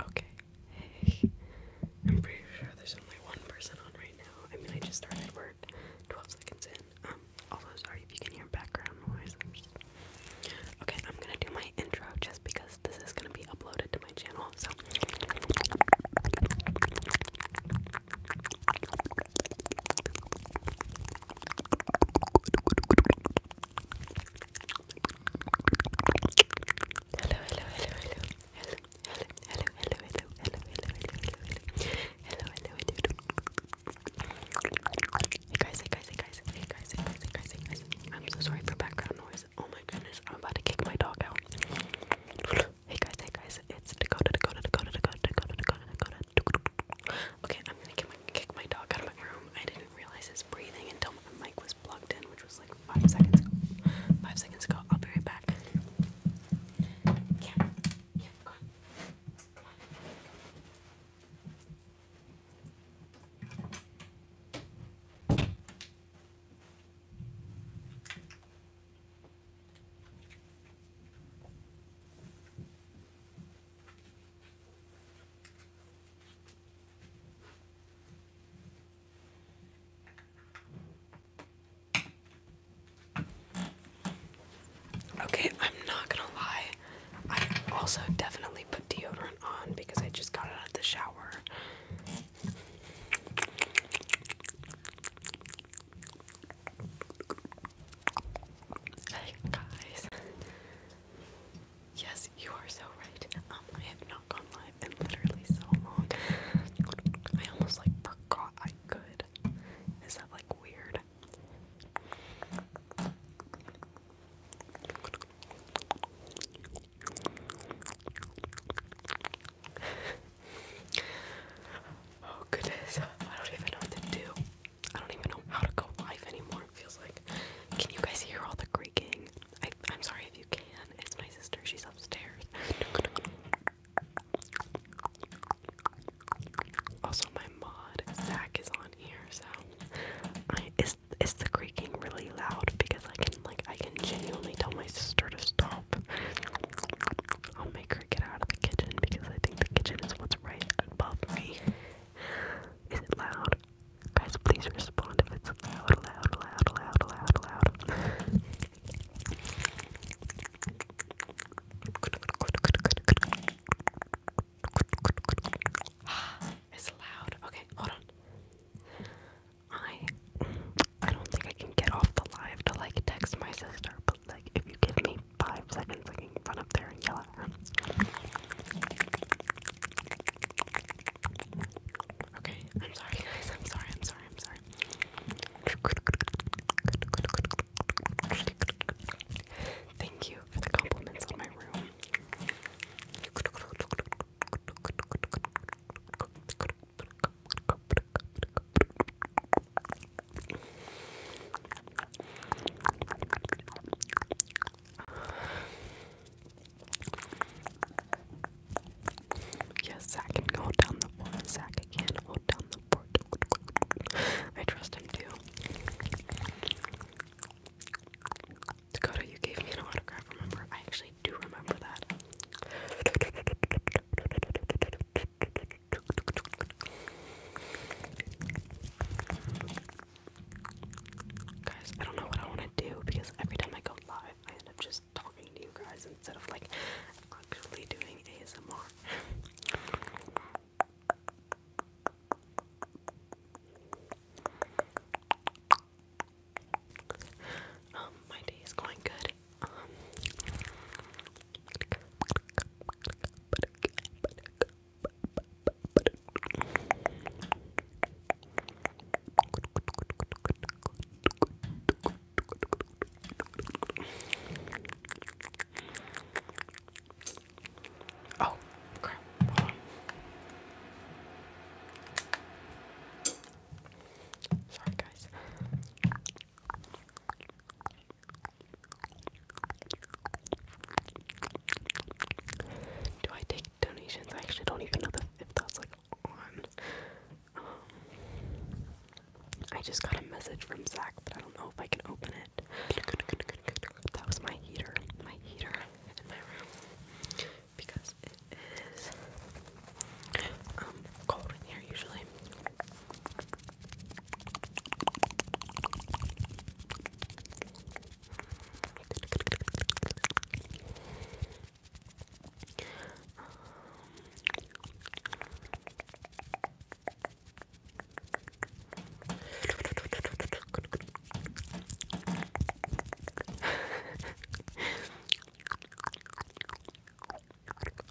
Okay. I'm pretty sure there's only one person on right now. I mean, I just started work 12 seconds in. Um, also, sorry if you can hear background noise. Okay, I'm gonna do my intro just because this is gonna be uploaded to my channel, hello, hello, hello, hello, hello, hello, hello, hello, hello, hello, hello, hello, hello, hello, dude. Hey guys, hey guys, hey guys, hey guys, hey guys, hey guys, hey guys. I'm so sorry for background noise. Oh my goodness, I'm about to kick my dog out. Hey guys, hey guys, it's Dakota, Dakota, Dakota, Dakota, Dakota, Dakota, Dakota. Okay, I'm gonna kick my, kick my dog out of my room. I didn't realize breathing until my mic was plugged in, which was like five seconds ago. Five seconds ago. I'll be right back. Yeah. Yeah, go on. Okay, I'm not gonna lie. I also definitely put deodorant on because I just got out of the shower. Hey guys. Yes, you are so right. Um, I have not gone live in literally so long. I almost like forgot I could. Is that like weird? oh goodness, I don't even know what to do. I don't even know how to go live anymore feels like. Can you guys hear all the creaking? I, am sorry if you can. It's my sister. She's upstairs. Also, my mod Zach is on here, so is is the creaking really loud? Because I can like I can genuinely tell my sister to stop. I'll make her get out of the kitchen because I think the kitchen is what's right above me. Is it loud? Guys, please respond if it's loud, loud, loud, loud, loud, loud. it's loud. Okay, hold on. I I don't think I can get off the live to like text my sister, but like if you give me five seconds I can run up there and yell at her. Okay, I'm sorry guys, I'm sorry, I'm sorry, I'm sorry. Thank you for the compliments on my room. Yes, Zach can hold down the fort. Zach can hold down the fort. I trust him too. Dakota, you gave me an autograph, remember? I actually do remember that. Guys, I don't know what I want to do because every time I go live, I end up just talking to you guys instead of like actually doing ASMR. um, my day is going good. Oh, crap. Hold on. Sorry, guys do I take donations? I actually don't even know the, if that's like on. Um, I just got a message from Zach, but I don't know if I can open it. That was my heater, my heater in my room because it is um, cold in here usually. oh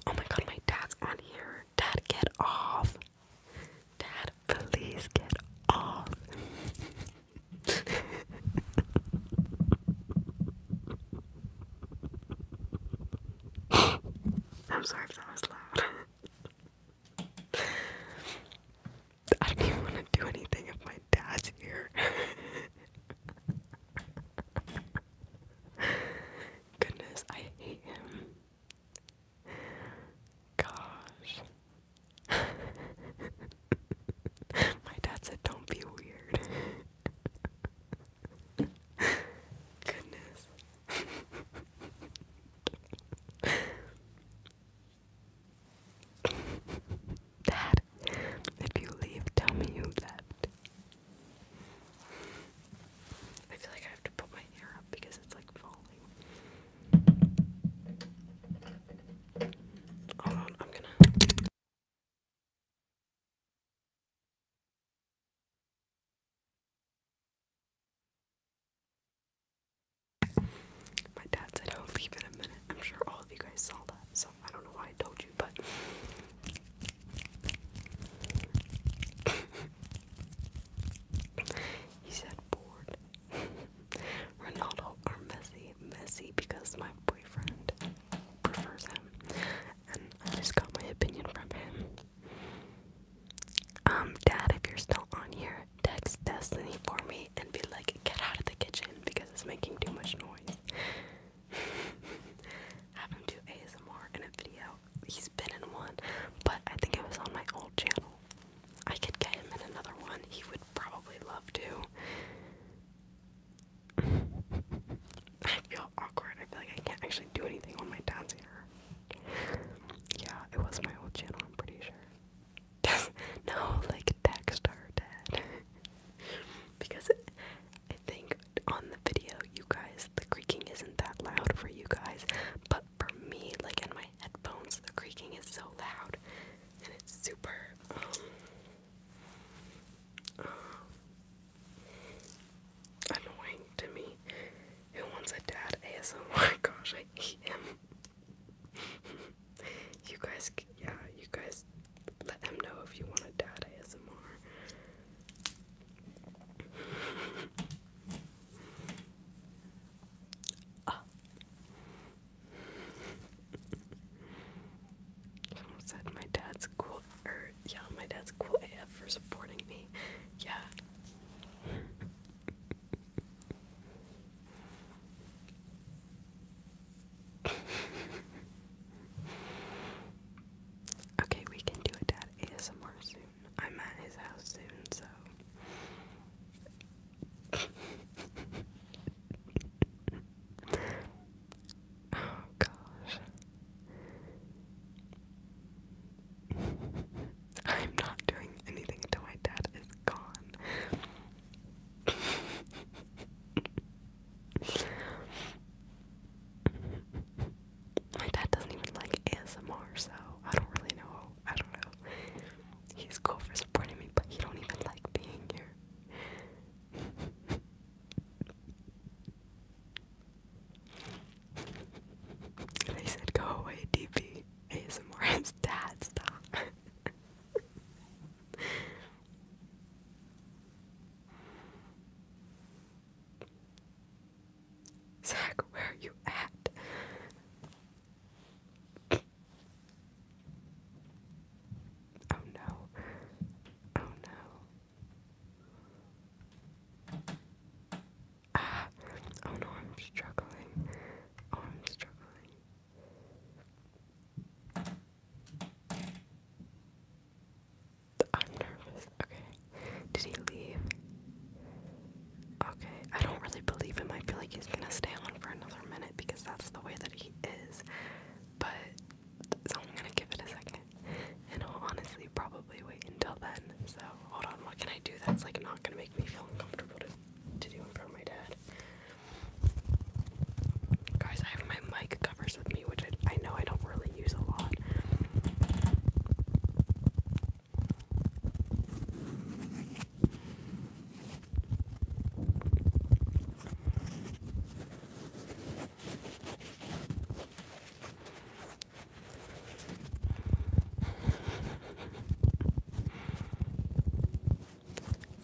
my god, my dad's on here. Dad, get off. Dad, please get off. I'm sorry if that was loud. I don't even want to do anything if my dad's here. Goodness, I hate him. Gosh. My dad said, don't be weird. Goodness. Dad, if you leave, tell me you left. I feel like I have to put my hair up because it's like falling. I'm My dad said I'll leave in a minute. I'm sure all of you guys saw that, so I don't know why I told you, but. he said, bored. Ronaldo or Messi. Messi because my boyfriend prefers him. And I just got my opinion from him. Um, Dad, if you're still on here, text Destiny for me and be like, get out of the kitchen because it's making too much noise. Have him do ASMR in a video. He's been in one, but I think it was on my old channel. I could get him in another one. He would probably love to. I feel awkward. I feel like I can't actually do anything on my dad's Yeah, it was my old channel, I'm pretty sure. no, like text her dad. because I think on the video, you guys, the creaking isn't that loud for you guys, but for me, like in my headphones, the creaking is so loud and it's super um, annoying to me. Who wants a dad ASMR? Oh gosh, I hate him. you guys, yeah, you guys, let him know if you want a dad ASMR. Ah. Someone said my dad's cool er, yeah, my dad's cool for supporting me. Yeah. okay, we can do a dad ASMR soon. I'm at his house soon, so oh gosh. I'm not doing anything until my dad is gone. my dad doesn't even like ASMR, so I don't really know. I don't know. He's cool for supporting me, but he don't even like being here they said, go away, DP. ASMR's dad, stop. Zach, where are you at? Oh no. Oh no. Ah. Oh no, I'm struggling. Oh, I'm struggling. I'm nervous. Okay. Did he leave? Okay. I don't really believe him. I feel like he's gonna stay on for another minute because that's the way that he is, but so I'm gonna give it a second, and I'll honestly probably wait until then. So hold on, what can I do that's like not gonna make me feel uncomfortable to, to do in front of my dad? Guys, I have my mic covers with me, which I know I don't really use a lot. For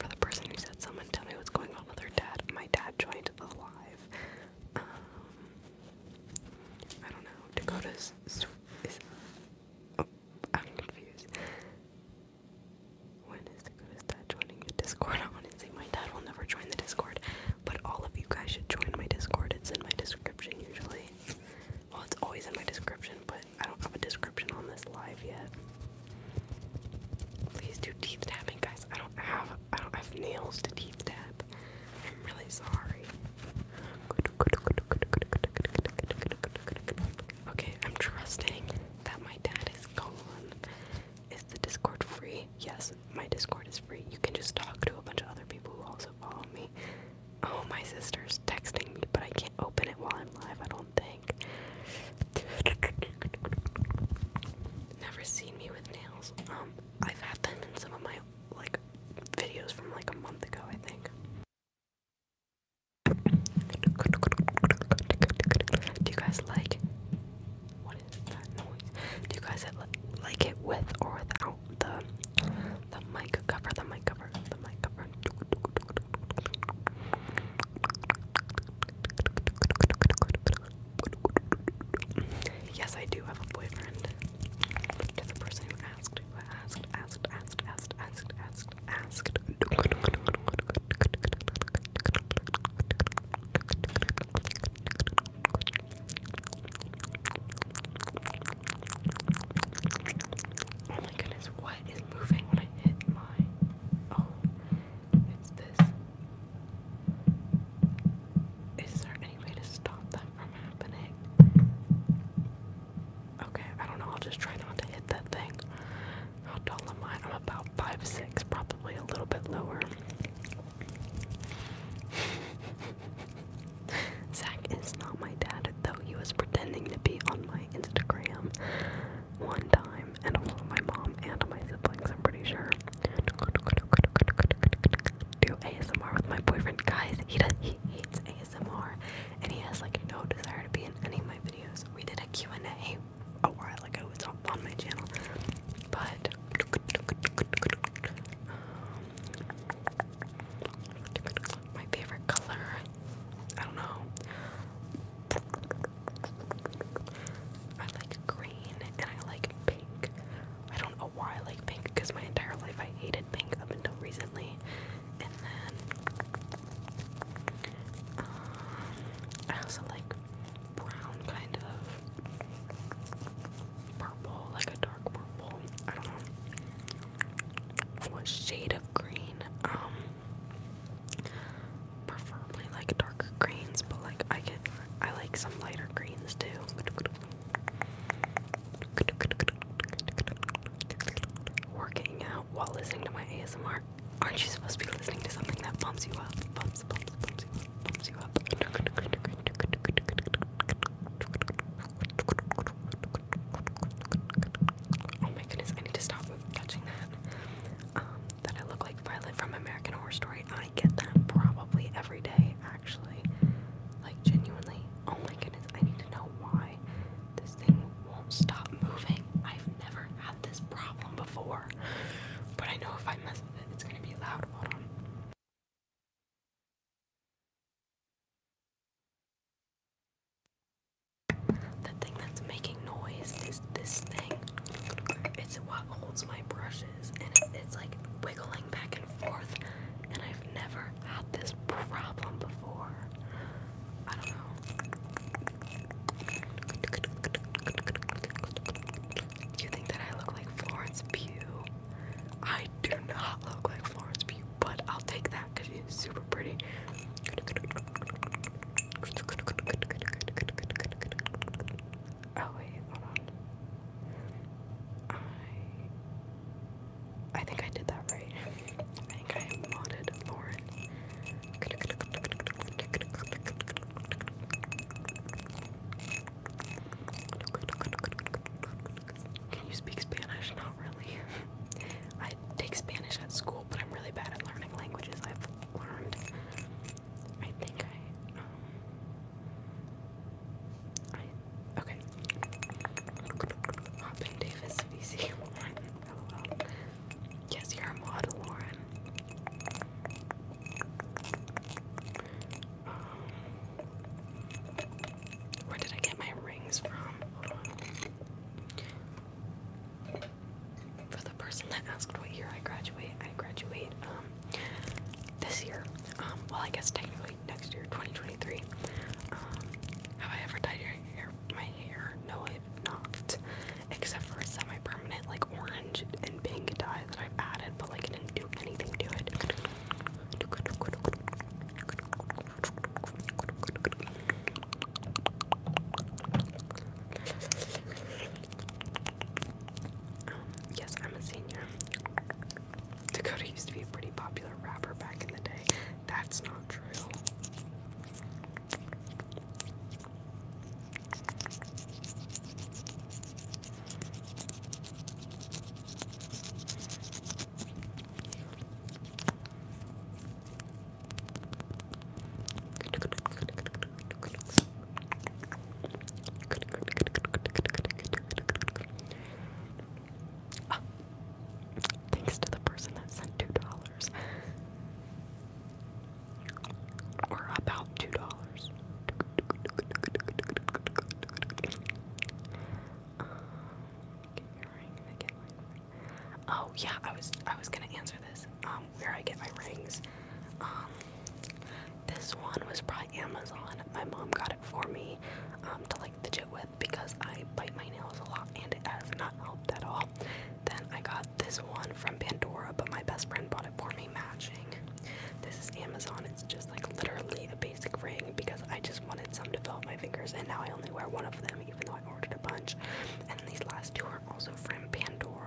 the person who said, someone tell me what's going on with her dad, my dad joined the um, I don't know. Dakota's. oh, I'm confused. When is the goodest dad joining the Discord? Honestly, my dad will never join the Discord, but all of you guys should join my Discord. It's in my description usually. Well, it's always in my description, but I don't have a description on this live yet. Please do teeth tapping, guys. I don't have I don't have nails to teeth tap. I'm really sorry. Okay, I'm trusting that my dad is gone. Is the Discord free? Yes, my Discord is free. You can just talk to a bunch of other people who also follow me. Oh, my sister's texting me, but I can't open it while I'm live, I don't think. Never seen me with nails. Um, I've had them in some of my like videos from like a month ago, I think. Do you guys like what is that noise? Do you guys like it with or without the the mic cover? The mic cover. The mic cover. Yes, I do have a boyfriend. To the person who asked, asked, asked, asked, asked, asked, asked, Oh my goodness, what is moving when I hit my. Oh, it's this. Is there any way to stop that from happening? Okay, I don't know, I'll just try not to hit that thing. How tall am I? I'm about five six, probably a little bit lower. Zach is not my dad, though he was pretending to be on my Instagram one time, and also my mom and my siblings, I'm pretty sure. Do ASMR with my boyfriend. Guys, he does he hates ASMR and he has like no desire to be in any of my videos. We did a Q&A a while ago. It's on, on my channel. But my favorite color, I don't know. I like green and I like pink. I don't know why I like pink because my entire life I hated pink up until recently. And then I also like brown, kind of purple, like a dark purple. I don't know what shade of green. Um, preferably like darker greens, but like I get, I like some lighter greens too. Working out while listening to my ASMR. Aren't you supposed to be listening to something that pumps you up? Pumps, pumps, pumps you Oh my goodness, I need to stop touching that. Um, that I look like Violet from American Horror Story. I get that probably every day, actually. Like, genuinely. Oh my goodness, I need to know why this thing won't stop moving. I've never had this problem before. But I know if I mess with it, it's gonna be loud. The thing that's making noise is this thing. It's what holds my brushes, and it's like wiggling back and forth. And I've never had this problem before. I don't know. You think that I look like Florence Pugh? I do not look like Florence Pugh, but I'll take that because she's super pretty. Oh wait, hold on. I I think I did that right. I Can you speak Spanish? Not really. I take Spanish at school, but I'm really bad at learning languages I've learned. I think I. Um, okay. Hopping Davis vc Yes, you're a model, Lauren. Um, where did I get my rings from? For the person that asked what year I graduate, I graduate um, this year. Um, well, I guess technically next year, 2023. Um, have I ever dyed your hair my hair. No, I've not. Except for a semi-permanent like orange and pink dye that I've added, but like it didn't do anything to it. Um, yes, I'm a senior. Dakota used to be a pretty popular rapper back in the day. That's not true. Ah. thanks to the person that sent two dollars. or about two dollars. oh yeah, I was I was gonna answer this. Um, where I get my rings. Um, this one was probably Amazon. My mom got it for me um, to like fidget with because I bite my nails a lot and it has not helped at all. Then I got this one from Pandora, but my best friend bought it for me matching. This is Amazon. It's just like literally a basic ring because I just wanted some to fill up my fingers, and now I only wear one of them, even though I ordered a bunch. And these last two are also from Pandora.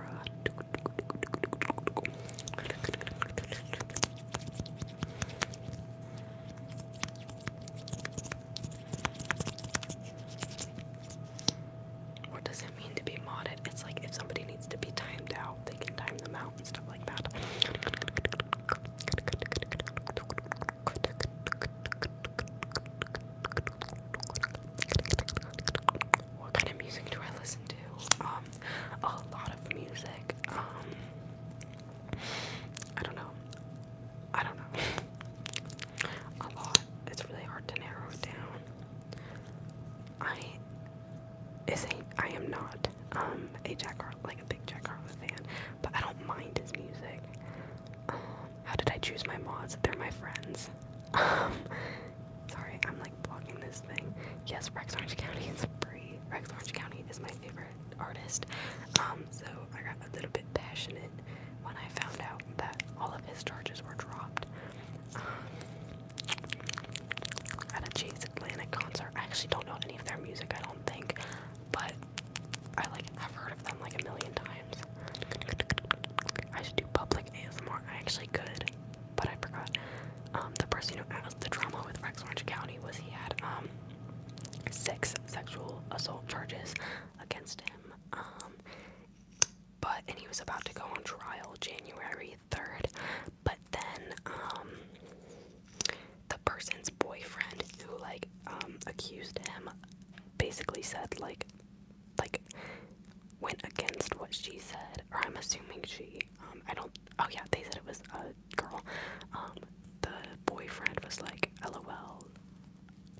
What does it mean to be modded? It's like if somebody needs to be timed out, they can time them out and stuff like that. What kind of music do I listen to? Um, a lot of music. Um, I don't know. I don't know. a lot. It's really hard to narrow down. I is a, I am not um a Jack Harlow like a big Jack Harlow fan, but I don't mind his music. Um, how did I choose my mods? They're my friends. Um, sorry, I'm like blocking this thing. Yes, Rex Orange County is free. Rex Orange County is my favorite artist. Um, so I got a little bit passionate when I found out that all of his charges were dropped. Um, at a Chase Atlantic concert. I actually don't know any of their music, I don't think, but I like have heard of them like a million times. I should do public ASMR. I actually could, but I forgot. Um, the person who asked the drama with Rex Orange County was he had um, six sexual assault charges against him but and he was about to go on trial January 3rd, but then um the person's boyfriend who like um accused him basically said like like went against what she said or I'm assuming she um I don't oh yeah they said it was a girl um the boyfriend was like lol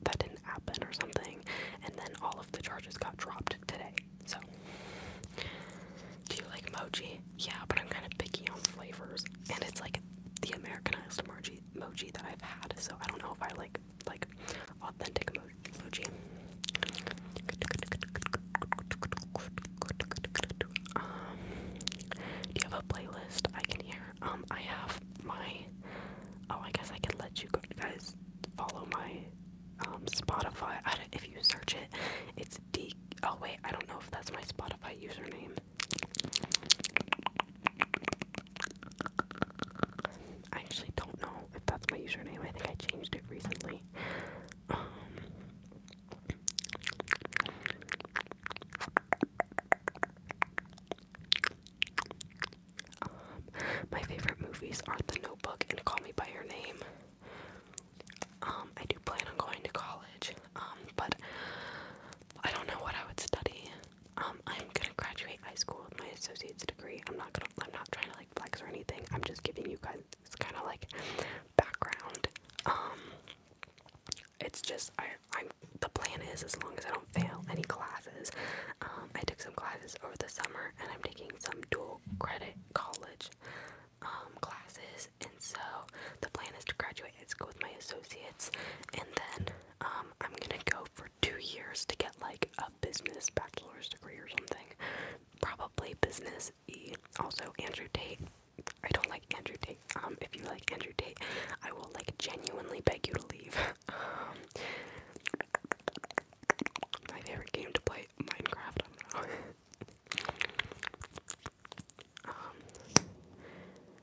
that didn't happen or something, and then all of the charges got dropped today. So, do you like mochi? Yeah, but I'm kind of picky on flavors, and it's like the Americanized mochi mochi that I've had. So I don't know if I like like authentic mo mochi. Um, do you have a playlist I can hear? Um, I have my. Oh, I guess I can let you go, guys follow my um, Spotify. if you search it, it's D. Oh wait, I don't know if that's my Spotify username. I actually don't know if that's my username. I think I changed it recently. Um, um, my favorite movies are The Notebook and Call Me by Your Name. Um, I do plan on going to college, um, but I don't know what I would study. I'm gonna graduate high school with my associate's degree. I'm not gonna. I'm not trying to like flex or anything. I'm just giving you guys kind of like background. it's just I. I'm. The plan is as long as I don't fail any classes. I took some classes over the summer and I'm taking some dual credit college um, classes and so the plan is to graduate high go with my associates and then um, I'm gonna go for two years to get like a business bachelor's degree or something probably business e also Andrew Tate I don't like Andrew Tate um if you like Andrew Tate I will like genuinely beg you to leave Um, my favorite game to play, Minecraft. I um,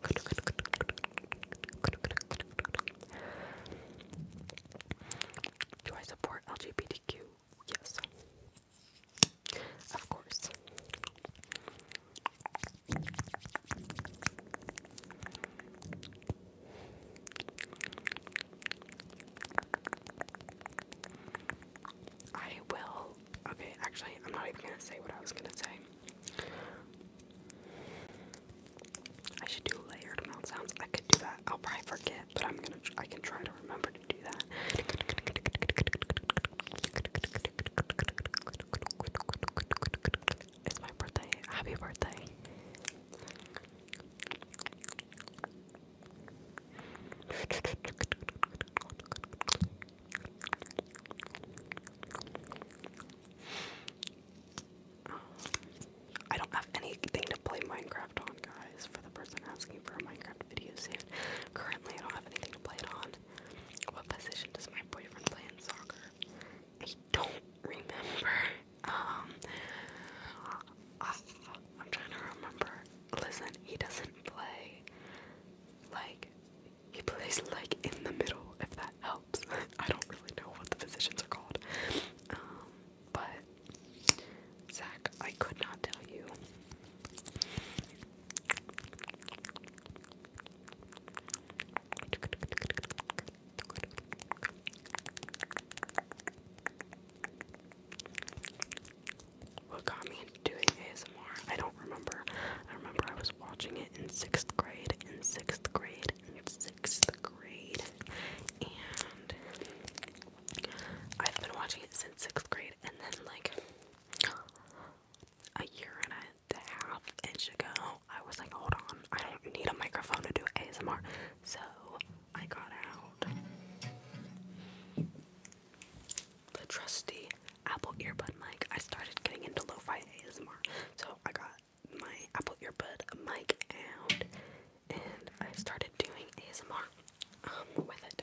do do I support LGBTQ? Yes, of course. I will. Okay, actually, I'm not even gonna say what I was gonna say. I should do layered mouth sounds. I could do that. I'll probably forget, but I'm gonna. I can try to remember to do that. It's my birthday. Happy birthday. I don't have anything to play Minecraft on, guys. For the person asking for a Minecraft video soon, currently I don't have anything to play it on. What position does my boyfriend play in soccer? I don't remember. Um, I, am trying to remember. Listen, he doesn't play like he plays like in the middle, if that helps. I don't really know what the positions are called. Um, but Zach, I could not tell you. What got me into doing ASMR? I don't remember. I remember I was watching it in sixth grade, in sixth grade, in sixth grade, and I've been watching it since sixth grade, and then like a year and a half inch ago, I was like, hold on, I don't need a microphone to do ASMR. So I got out the trusty Apple earbud mic. I started getting into lo-fi ASMR, so I got my Apple earbud mic out and I started doing ASMR um, with it.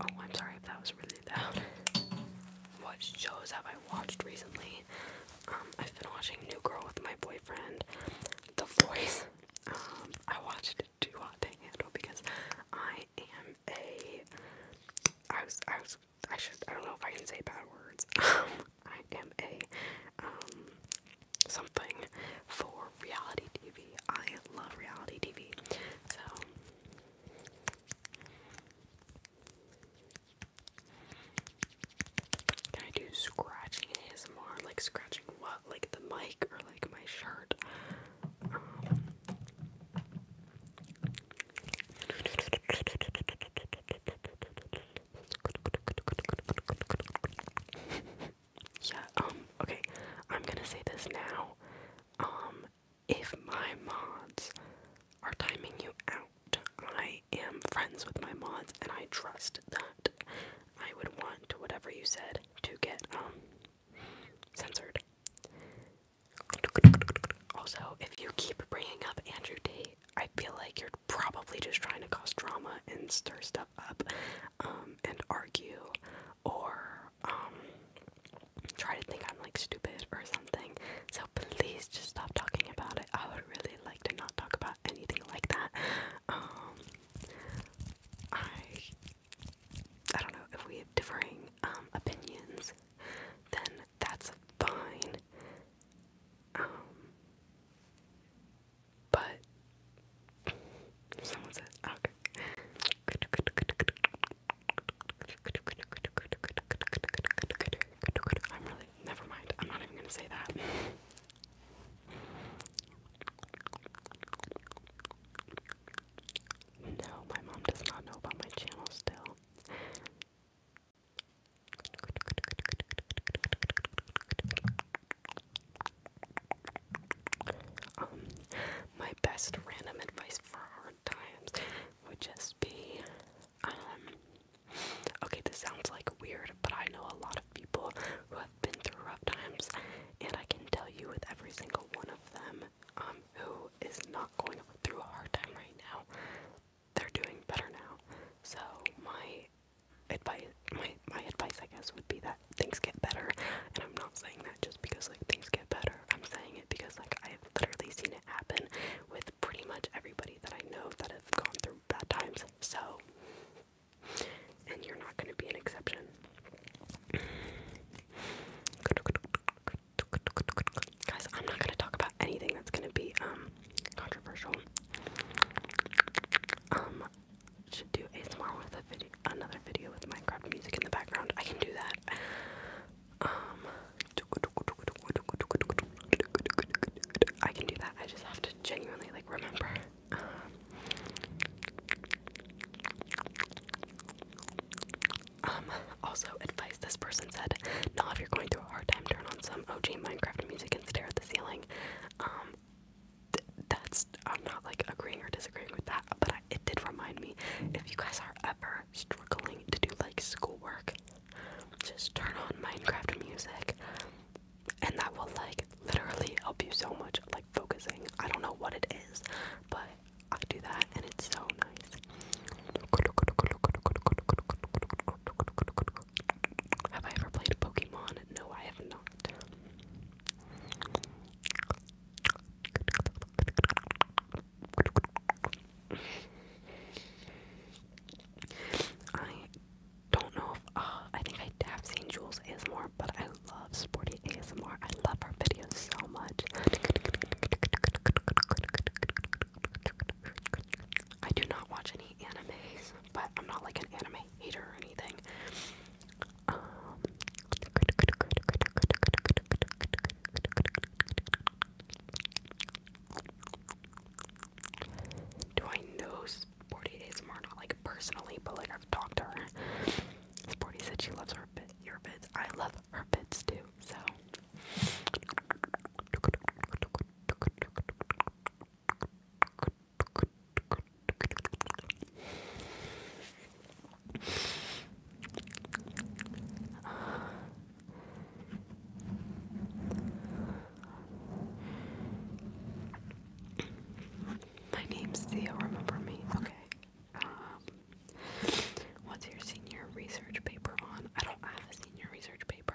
Oh, I'm sorry if that was really loud. What shows have I watched recently? Um, I've been watching New Girl with my boyfriend, The Voice. Um, I watched it too hot to handle because I am a. I was. I was. I should. I don't know if I can say bad words. Um, I am a. Um, something for reality TV. I love reality TV. So. Can I do scratching ASMR? Like scratching what? Like the mic or like my shirt? yeah, um, okay. I'm gonna say this now. Um, if my mods are timing you out, I am friends with my mods and I trust that I would want whatever you said to get um censored. Also, if you keep bringing up Andrew D, I feel like you're probably just trying to cause drama and stir stuff up um, and argue or um, try to think I'm like stupid or something. So please just stop talking about it. I would really like to not talk about anything like that. Um, I I don't know if we have differing um, opinions, then that's fine. Um, but someone says I'm really Never mind. I'm not even going to say that. no, my mom does not know about my channel still. Um, my best random advice for hard times would just be, um, Okay, this sounds like weird, but I know a lot of people who have been through rough times, and I can tell you with every single one of them um, who is not going through a hard time right now, they're doing better now. So my advice, my my advice, I guess, would be that things get better, and I'm not saying that just because like things get better. I'm saying it because like I've literally seen it happen with pretty much everybody that I know that have gone through bad times. So, and you're not going to be an exception. Guys, I'm not going to talk about anything that's going to be um, controversial. Um, should do ASMR with a video, another video with Minecraft music in the background. I can do that. Um, I can do that. I just have to genuinely like remember. Um, um, also, advice this person said, now if you're going through a hard time, turn on some OG Minecraft music and stare at the ceiling. Um, that's, I'm not like agreeing or disagreeing with that, but it did remind me, if you guys are ever struggling to do like schoolwork, just turn on Minecraft music and that will like literally help you so much like focusing. I don't know what it is, but I do that and it's so nice. Have I ever played Pokemon? No, I have not. I don't know if uh, I think I have seen Jules ASMR, but I love Sporty ASMR. I love her videos so much. I do not watch any animes, but I'm not like an anime hater or anything. Um, do I know Sporty ASMR? Not like personally, but like I've talked to her. Sporty said she loves her your bits. I love her bits too. So. My name's Theo, remember me? Okay. Um, what's your senior research paper on? I don't have a senior research paper.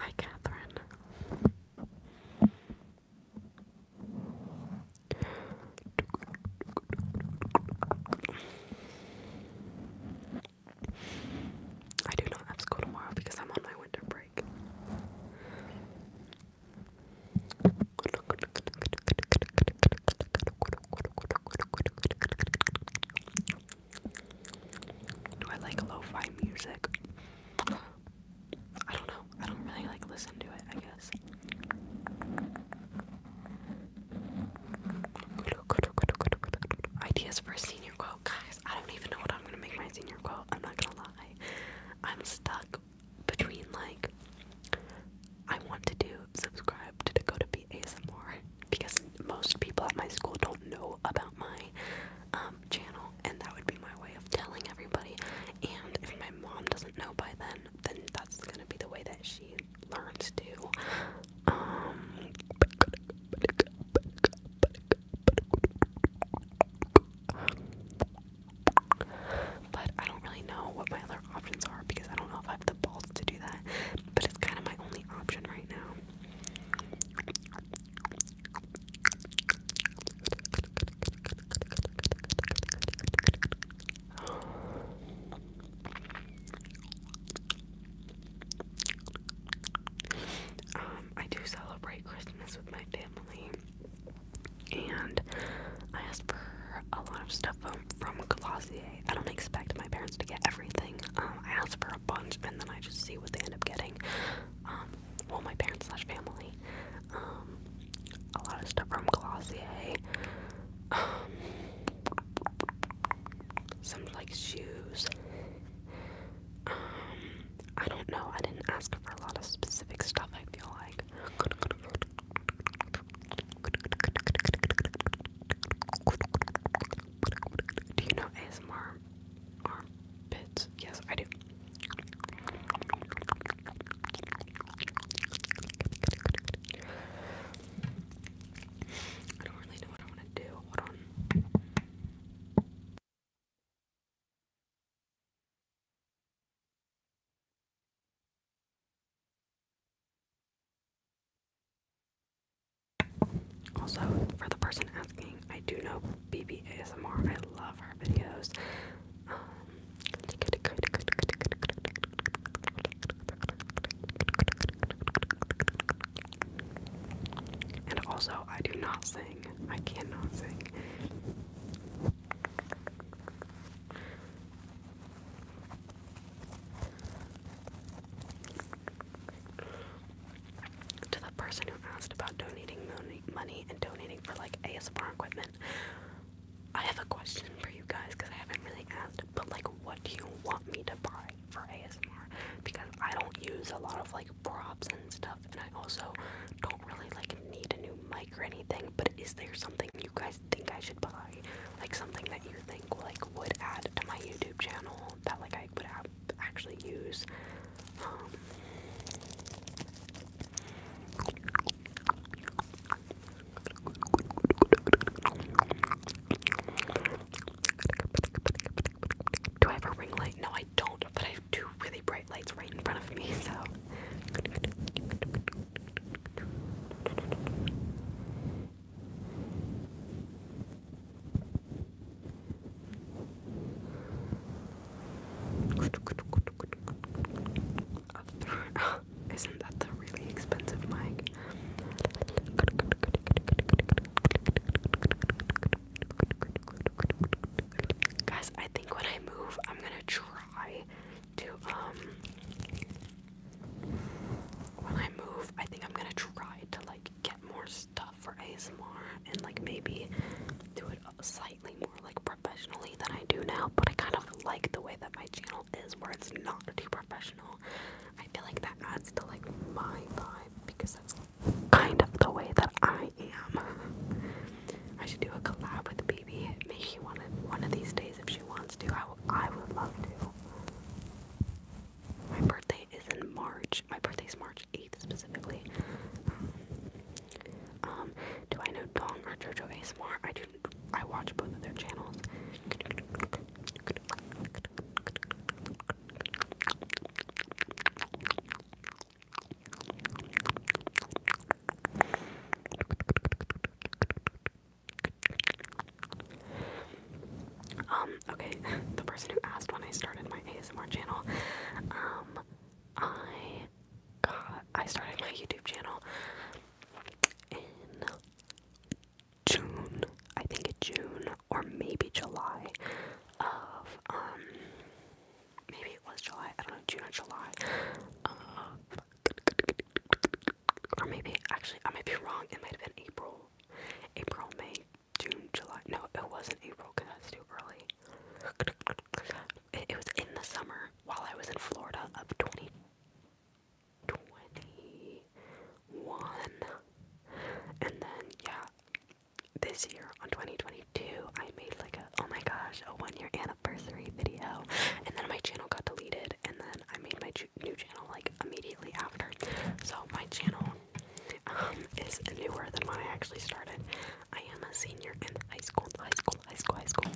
Hi, Catherine. I do not have school tomorrow because I'm on my winter break. Do I like lo-fi music? I don't know. I don't really like listen to it, I guess. Ideas for a senior quote. Guys, I don't even know what I'm gonna make my senior quote. I'm not gonna lie. I'm stuck between like I want to do subscribe to Dakota P ASMR because most people at my school don't know about my um, channel, and that would be my way of telling everybody. And if my mom doesn't know by then, then that's gonna be the way that she learns too. Um, but I don't really know what my other options are because I don't know if I have the balls to do that, but it's kind of my only option right now. Um, I do celebrate Christmas with my family, and I ask for a lot of stuff from, um, from Glossier. I don't expect my parents to get everything. Um, I ask for a bunch and then I just see what they end up getting. Um, well, my parents slash family. Um, a lot of stuff from Glossier. Um, some like shoes. I don't know. I didn't ask for a lot of specific stuff. I feel like do you know ASMR Yes, I do. I don't really know what I want to do. Hold on. Also, for the person asking, I do know BB I love our videos. and also, I do not sing. I cannot sing. To the person who asked about donating money, and donating for like ASMR equipment, I have a question for you guys because I haven't really asked, but like, what do you want me to buy for ASMR? Because I don't use a lot of like props and stuff, and I also don't really like need a new mic or anything. But is there something you guys think I should buy, like something that you think like would add to my YouTube channel that like I would actually use. Um, do I have a ring light? No, I don't, but I have two really bright lights right in front of me, so. isn't that the really expensive mic? Guys, I think when I move, I'm gonna try to um when I move, I think I'm gonna try to like get more stuff for ASMR and like maybe do it slightly more like professionally than I do now. But I kind of like the way that my channel is, where it's not too professional. I feel like that adds to like my vibe because that's kind of the way that I am. I should do a collab with B maybe maybe one of one of these days if she wants to. I, I would love to. My birthday is in March. My birthday is March 8th specifically. Um, do I know Dong or JoJo Smart? I do. I watch both of their channels. Um, okay, the person who asked when I started my ASMR channel, um, I got, I started my YouTube channel in June, I think it's June, or maybe July of, um, maybe it was July, I don't know, June or July or maybe actually I might be wrong. It might have been April, April, May, June, July. No, it wasn't April because that's too early. It, was in the summer while I was in Florida of 20, and then yeah, this year on 2022 I made like a oh my gosh a one year anniversary video, and then my channel got deleted, and then I made my new channel like immediately after. So my channel um, is newer than when I actually started. I am a senior in high school, high school, high school, high school.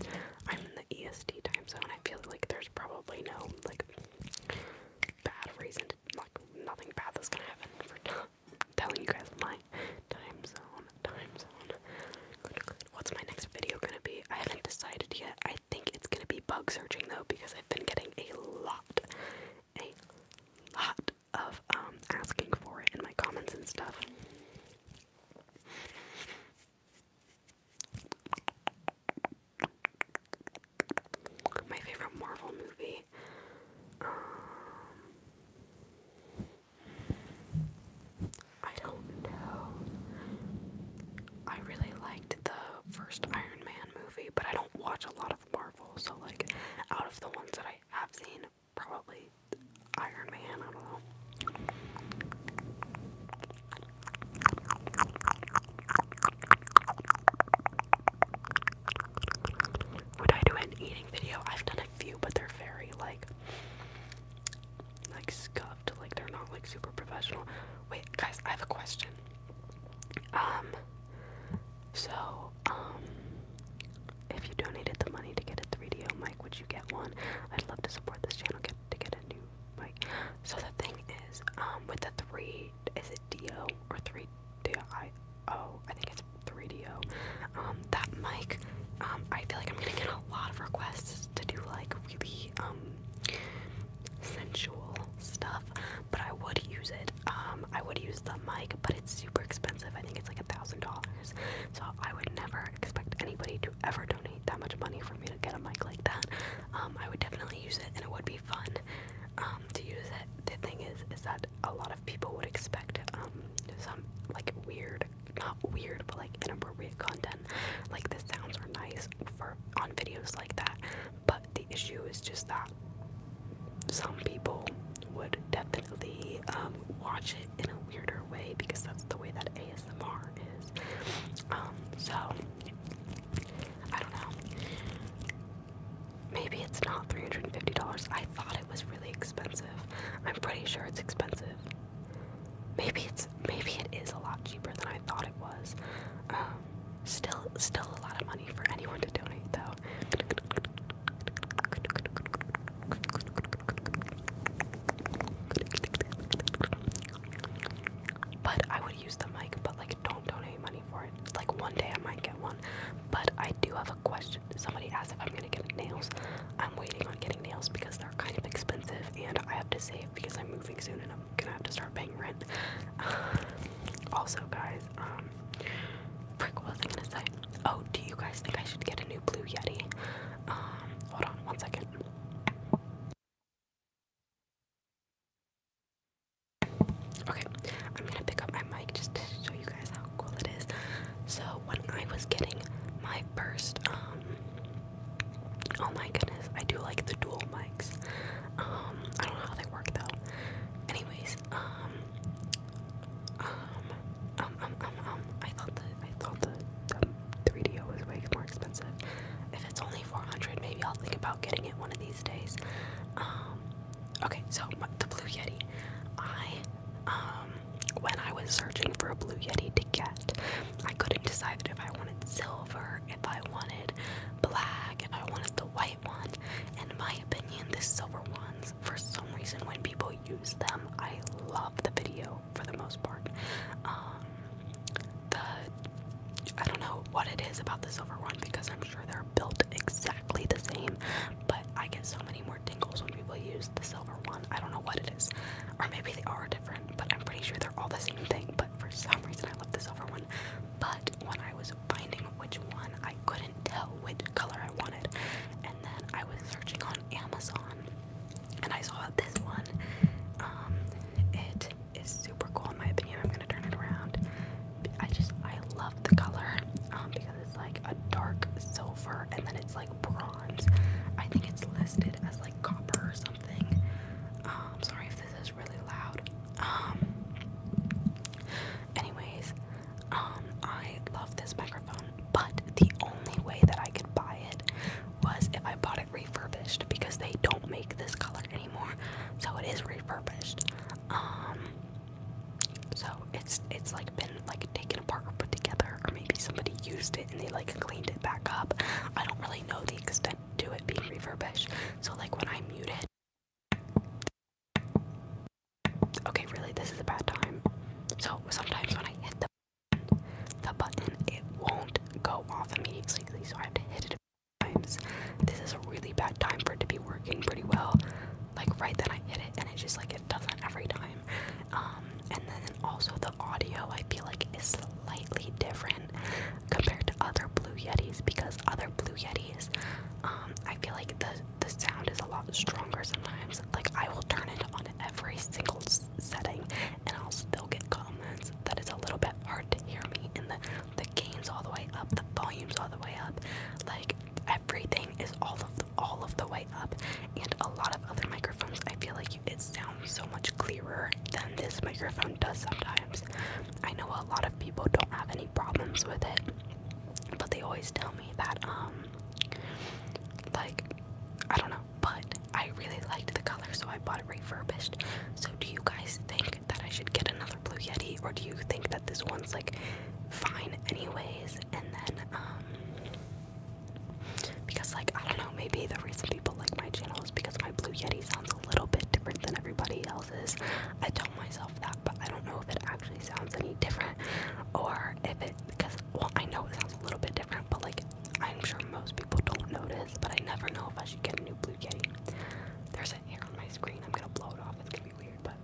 I'm in the EST time zone. I feel like there's probably no like bad reason to like nothing bad that's gonna happen for telling you guys my time zone, time zone. What's my next video gonna be? I haven't decided yet. I I think it's gonna be bug searching though because I've been getting a lot, a lot of um asking for it in my comments and stuff. My favorite Marvel movie. Um, I don't know. I really liked the first Iron Man movie, but I don't watch a lot of Marvel, so like out of the ones that I have seen, probably Iron Man, I don't know. Would I do an eating video? I've done a few, but they're very like like scuffed, like they're not like super professional. Wait, guys, I have a question. Um, so, um, if you donated the money to get a 3DO mic, would you get one? I'd love to support this channel get, to get a new mic. So the thing is, um, with the three, is it DO or 3DIO? I think it's 3DO. Um, that mic, um, I feel like I'm gonna get a lot of requests was to do like really um sensual stuff, but I would use it. Um, I would use the mic, but it's super expensive. I think it's like a thousand dollars. So I would never expect anybody to ever donate that much money for me to get a mic like that. Um, I would definitely use it, and it would be fun um, to use it. The thing is, is that a lot of people would expect um, some like weird, not weird, but like inappropriate content like the sounds are nice for on videos like that but the issue is just that some people would definitely um, watch it in a weirder way because that's the way that ASMR is um, so I don't know maybe it's not $350 I thought it was really expensive I'm pretty sure it's expensive Maybe it's maybe it is a lot cheaper than I thought it was. Um, still, still a lot of money for anyone to donate, though. But I would use the mic, but like don't donate money for it. Like one day I might get one. But I do have a question. Somebody asked if I'm gonna get nails. I'm waiting on getting nails because they're kind of expensive and I have to save because I'm moving soon and I'm gonna have to start paying rent. also, guys, um, frick, what to say? Oh, do you guys think I should get a new Blue Yeti? Um, hold on one second. Okay, I'm gonna pick up my mic just to show you guys how cool it is. So when I was getting my first um, Oh my goodness, I do like the dual mics. Um, I don't know how they work though. Anyways, um, um, um, um, um, um I thought the I thought the, the 3DO was way more expensive. If it's only 400, maybe I'll think about getting it one of these days. Um, okay, so the Blue Yeti, I, um, when I was searching for a Blue Yeti to get, I couldn't decide if I wanted silver if I wanted black, if I wanted the white one. And in my opinion, the silver ones, for some reason, when people use them, I love the video for the most part. Um, the I don't know what it is about the silver one because I'm sure they're built exactly the same, but I get so many more tingles when people use the silver one. I don't know what it is, or maybe they are different but I'm pretty sure they're all the same thing. But for some reason, I love the silver one. But when I was finding which one, I couldn't tell which color I wanted. And then I was searching on Amazon and I saw this one. Um, it is super cool in my opinion. I'm gonna turn it around. I just I love the color um, because it's like a dark silver and then it's like bronze. I think it's listed as like copper or something. Um, I'm sorry if this is really loud. Um anyways, um I love this microphone, but the only way that I could buy it was if I bought it refurbished because they don't make this color anymore. So it is refurbished. Um so it's it's like been like taken apart or put together or maybe somebody used it and they like cleaned it back up. I don't really know the extent do it being refurbished. So, like when I mute it, okay, really, this is a bad time. So, sometimes when I hit the button, the button, it won't go off immediately, so I have to hit it a few times. This is a really bad time for it to be working pretty well. Like right then, I hit it, and it just like it doesn't every time. Um, and then also the audio, I feel like is slightly different compared to other Blue Yetis because other Blue Yetis, um, I feel like the the sound is a lot stronger sometimes. Like I will turn it on every single setting, and I'll still get comments that it's a little bit hard to hear me. And the the gains all the way up, the volumes all the way up, like everything is all of the, all of the way up. And a lot of other microphones, I feel like it sounds so much clearer than this microphone does sometimes. I know a lot of people don't have any problems with it, but they always tell me that, um, like, I don't know, but I really liked the color, so I bought it refurbished. So, do you guys think that I should get another Blue Yeti, or do you think that this one's like fine, anyways? And then, um, because, like, I don't know, maybe the reason people like my channel because my Blue Yeti sounds a little bit different than everybody else's. I tell myself that, but I don't know if it actually sounds any different or if it, because, well, I know it sounds a little bit different, but like, I'm sure most people don't notice, but I never know if I should get a new Blue Yeti. There's an hair on my screen. I'm gonna blow it off. It's gonna be weird, but.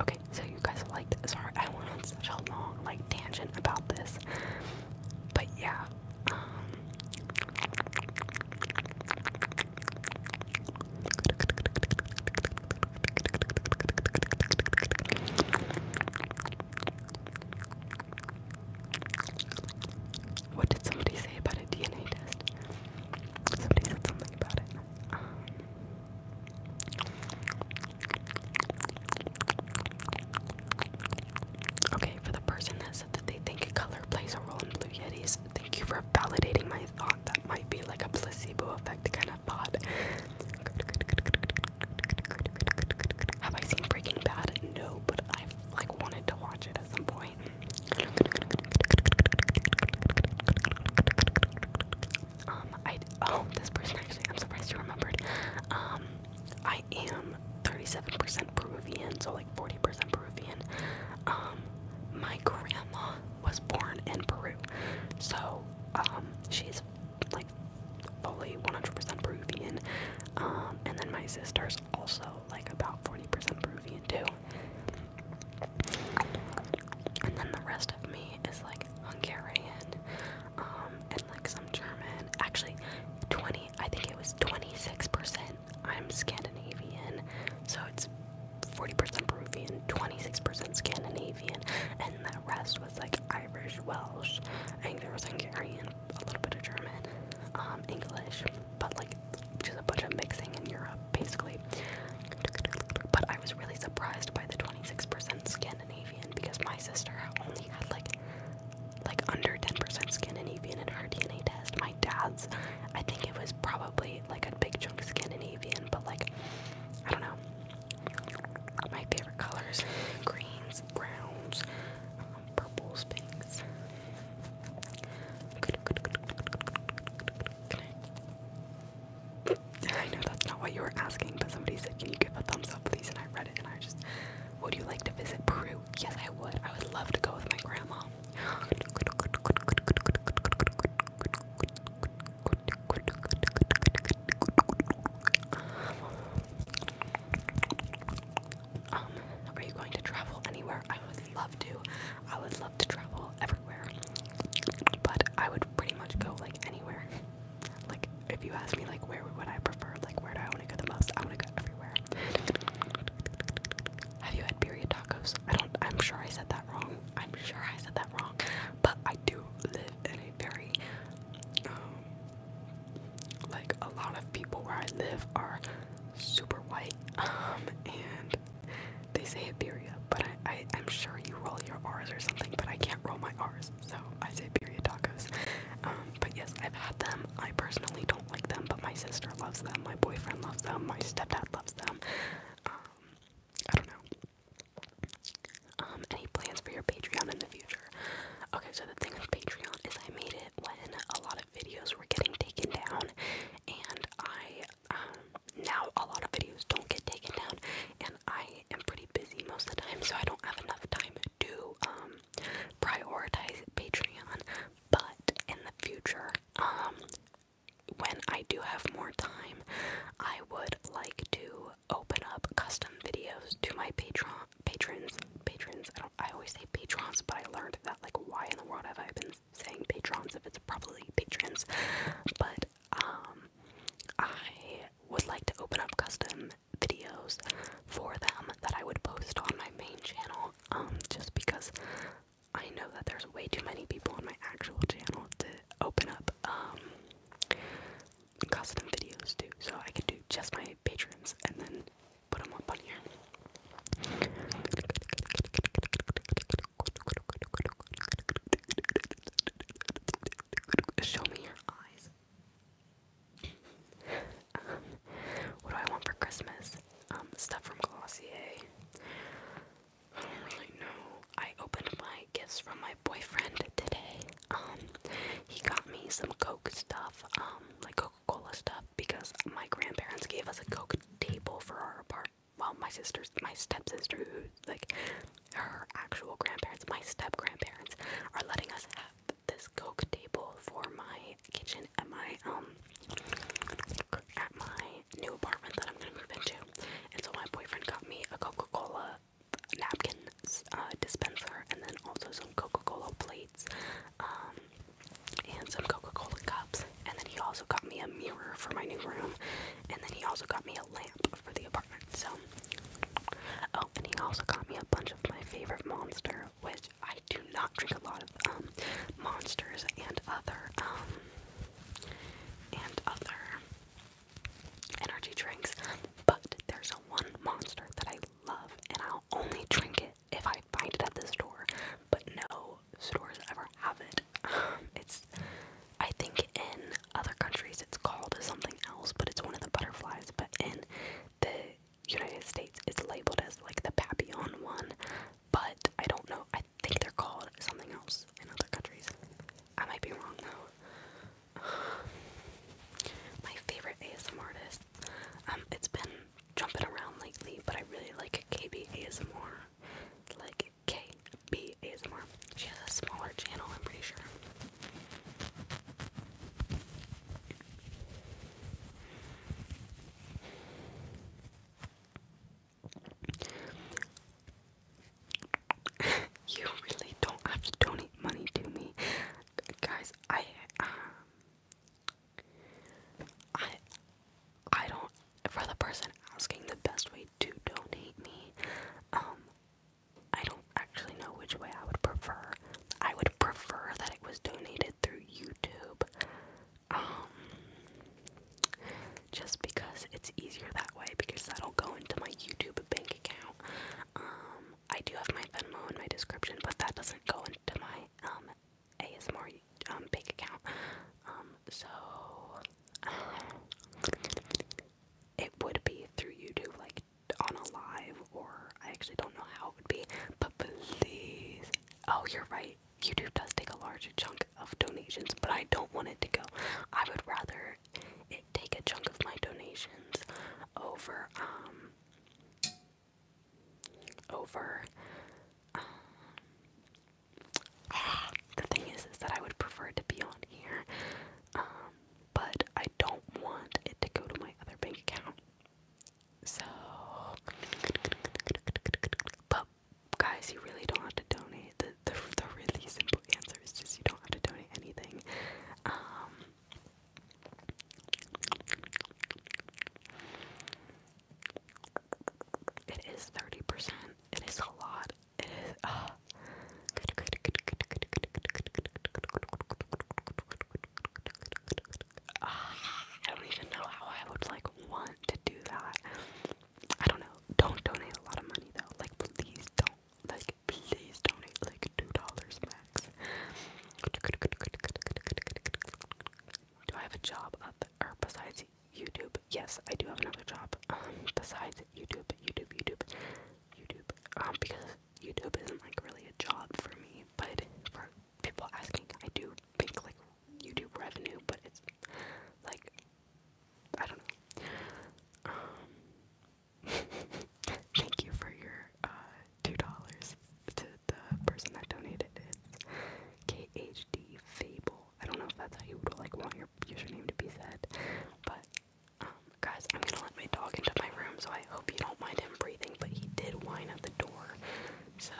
Okay, so you guys liked. Sorry, I went on such a long, like, tangent about this. But yeah, what did somebody say about a DNA test? Somebody said something about it. Okay, for the person that said that they think color plays a role in Blue Yetis, thank you for validating my thought. That might be like a placebo effect kind of thought. Have I seen Breaking Bad? No, but I've like wanted to watch it at some point. Um, I oh this person actually I'm surprised you remembered. Um, I I am 37% Peruvian, so like 40% Peruvian. Um, my grandma was born in Peru, so um, she's like fully 100% Peruvian. Um, and then my sister's also like about 40% Peruvian too. And then the rest of me is like Hungarian like some German. Actually, 20, I think it was 26%. I'm Scandinavian, so it's 40% Peruvian, 26% Scandinavian, and the rest was like Irish, Welsh. I think there was Hungarian, a little bit of German, um, English, but like just a bunch of mixing in Europe, basically. But I was really surprised by the 26% Scandinavian because my sister only had like like under 10% Scandinavian in our DNA test. My dad's, I think it was probably like a big chunk skin and but like, I don't know. My favorite colors greens, browns, um, purples, pinks. I know that's not what you were asking, but somebody said, Can you give a thumbs up, please? And I read it and I just would you like to visit Peru? Yes, I would. I would love to go with my grandma. Um, are you going to travel anywhere? I would love to. I would love to travel everywhere. But I would pretty much go like anywhere. Like if you ask me like where would I prefer, like where do I want to go the most. I want to go everywhere. Have you had period tacos? I don't. I'm sure I said that wrong. I'm sure I said that wrong. But I do live in a very, um, like a lot of people where I live are super white, um, and they say Iberia. But I, I, I'm sure you roll your R's or something. But I can't roll my R's, so I say period tacos. Um, but yes, I've had them. I personally don't don't like them, but my sister loves them, my boyfriend loves them, my stepdad loves them. Um, I don't know. Um, any plans for your Patreon in the future? Okay, so the thing with Patreon is I made it when a lot of videos were getting taken down, and I, um, now a lot of videos don't get taken down, and I am pretty busy most of the time, so I don't have enough time to, um, prioritize Patreon, but in the future, um when I do have more time, I would like to open up custom videos to my patron patrons patrons. I I always say patrons, but I learned that like why in the world have I been saying patrons if it's probably patrons. But um I would like to open up custom videos for them that I would post on my main channel um, just because I know that there's way too many people on my actual channel to open up um custom videos too so I could do just my patrons and then put them up on here Show me your eyes what do I want for Christmas? Um, stuff from Glossier. I don't really know. I opened my gifts from my boyfriend today. Um, he got me some Coke stuff, um, like Coca-Cola stuff, because my grandparents gave us a Coke table for our apartment. Well, my sister's, my stepsister, who, like, her actual grandparents, my step grandparents, are letting us have this Coke table for my kitchen at my um at my new apartment that I'm gonna move into. And so my boyfriend got me a Coca-Cola napkin uh, dispenser and then also some Coca-Cola plates um, and some Coca-Cola cups. And then he also got me a mirror for my new room. And then he also got me a lamp for the apartment. So, oh, and he also got me a bunch of my favorite monster which I do not drink a lot of um, monsters and other um, and other energy drinks, but there's one monster that I love and I'll only drink it if I find it at the store, but no stores ever have it. Um, it's I think in other countries it's called something else, but it's one of the butterflies, but in the United States is labeled as like the Papillon one, but I don't know. I think they're called something else in other countries. I might be wrong though. My favorite ASM artist. Um, it's been jumping around lately, but I really like KB ASMR. Like KB ASMR. She has a smaller channel, I'm pretty sure. you really don't have to donate money to me, guys. I um, I I don't. For the person asking the best way to donate me, um, I don't actually know which way I would prefer. I would prefer that it was donated through YouTube. Um, just because it's easier that way because that'll go into my YouTube bank account. Um, I do have my Venmo in my description, but that doesn't go into my um, ASMR bank account. so it would be through YouTube like on a live or I actually don't know how it would be, please. Oh, you're right. YouTube does take a large chunk of donations, but I don't want it to go. I would rather it take a chunk of my donations over um over um the thing is is that I would prefer to be on here. Um but I don't want it to go to my other bank account so, but guys, you really don't have to donate. The, the the really simple answers is just you don't have to donate anything. Um, it is thirty percent. It is a lot. It is. Uh, I don't even know how I would like want to do that. I don't know. Don't donate a lot of money though. Like please don't. Like please donate like two dollars max. Do I have a job other besides YouTube? Yes, I do have another job. Um, besides YouTube, YouTube, YouTube, YouTube. Um, because YouTube isn't like really a job for me, but for people asking. I do make like YouTube revenue, but it's like I don't know. Um, thank you for your uh, two dollars to the person that donated it. KHD Fable. I don't know if that's how you would like want your username to be said, but um, guys, I'm gonna let my dog into my room, so I hope you don't mind him breathing. But he did whine at the door. So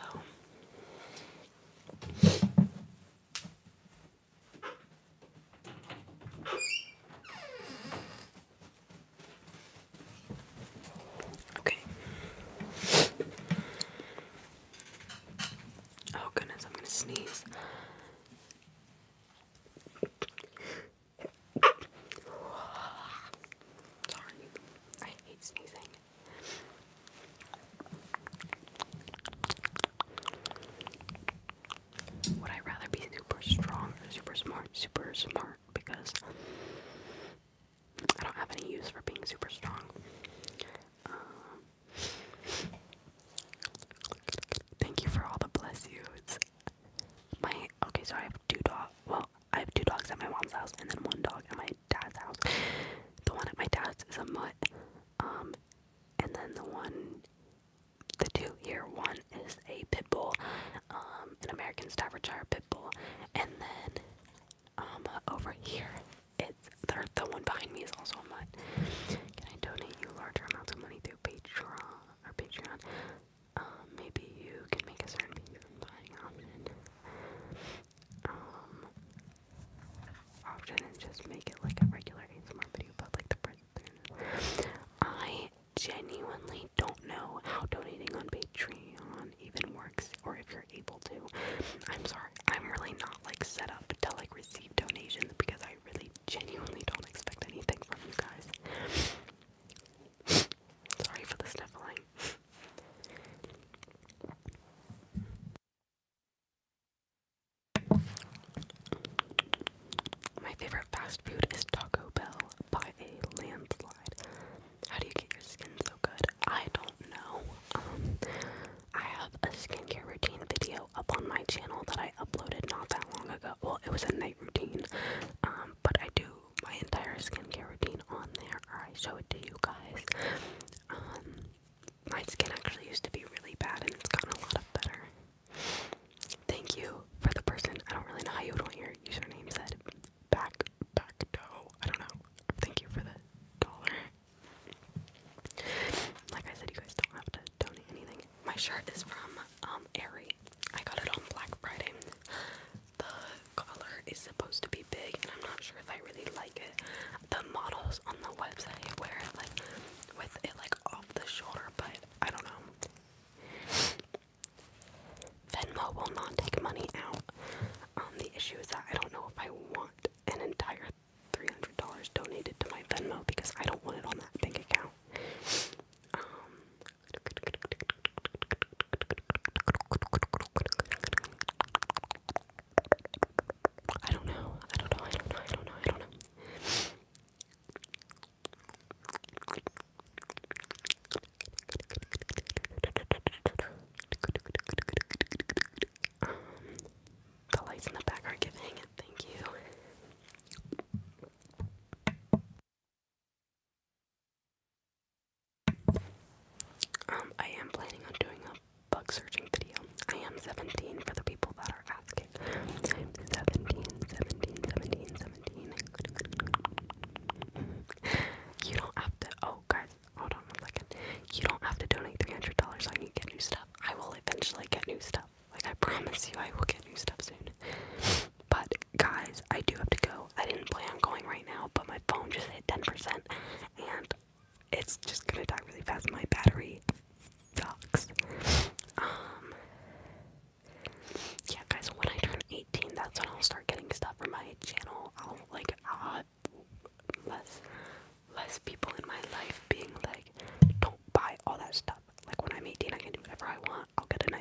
Okay. Oh goodness, I'm going to sneeze. Sorry, I hate sneezing. Would I rather be super strong super smart? Super smart because I don't have any use for being super strong. Um, thank you for all the bless yous. My okay, so I have two dogs. Well, I have two dogs at my mom's house and then one dog at my dad's house. The one at my dad's is a mutt. Um, and then the one, the two here, one is a pit bull, um, an American Staffordshire pit bull. And then um, over here, it's the, the one behind me is also a mutt. Can I donate you larger amounts of money through Patreon or Patreon? Um, maybe you can make a certain even option. Um, option and just make it like a regular ASMR video, but like the present. I genuinely don't know how donating on Patreon even works, or if you're able to. I'm sorry, I'm really not like set up to like receive donations because I really genuinely don't expect anything from you guys. Sorry for the sniffling. My favorite fast food is Taco Bell by a landslide. How do you get your skin so good? I don't know. Um, I have a skincare routine video up on my channel that I uploaded not that long ago. Well, it was a night routine, um, but I do my entire skincare routine on there, or I show it to you guys. Um, my skin actually used to be really bad, and it's gotten a lot better. Thank you for the person. I don't really know how you would want your username said. Back, back toe. I don't know. Thank you for the dollar. Like I said, you guys don't have to donate anything. My shirt is from um Aerie. I got it on Black Friday the collar is supposed to be big, and I'm not sure if I really like it. The models on the website wear it like with it like off the shoulder, but I don't know. Venmo will not take money out. Um, the issue is that I don't know if I want an entire $300 donated to my Venmo because I don't want it on that bank account. Um, I don't know. I don't know. I don't know. I don't know. I don't know. Um, the lights in the back are giving it. Thank you. Um, I am planning on doing a bug searching video. I am 17 for the people that are asking. i you don't have to, oh guys, hold on one second. You don't have to donate $300 I can get new stuff. I will eventually get new stuff. Like I promise you I will get new stuff soon. But guys, I do have to go. I didn't plan on going right now, but my phone just hit 10%, and it's just gonna die really fast. My battery sucks. Um, yeah, guys, when I turn 18, that's when I'll start getting stuff for my channel. I'll like less less people in my life being like, don't buy all that stuff. Like when I'm 18, I can do whatever I want. I'll get an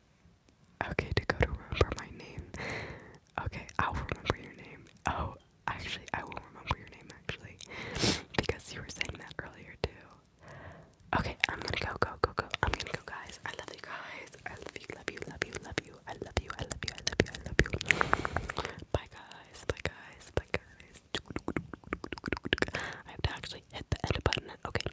Okay, Dakota, remember my name. Okay, I'll remember your name. Oh, actually, I will remember your name, actually. Because you were saying that earlier, too. Okay, I'm gonna go, go, go, go. I'm gonna go, guys. I love you guys. I love you, love you, love you, love you. I love you, I love you, I love you, I love you. Bye, guys. Bye, guys. Bye, guys. I have to actually hit the edit button. Okay.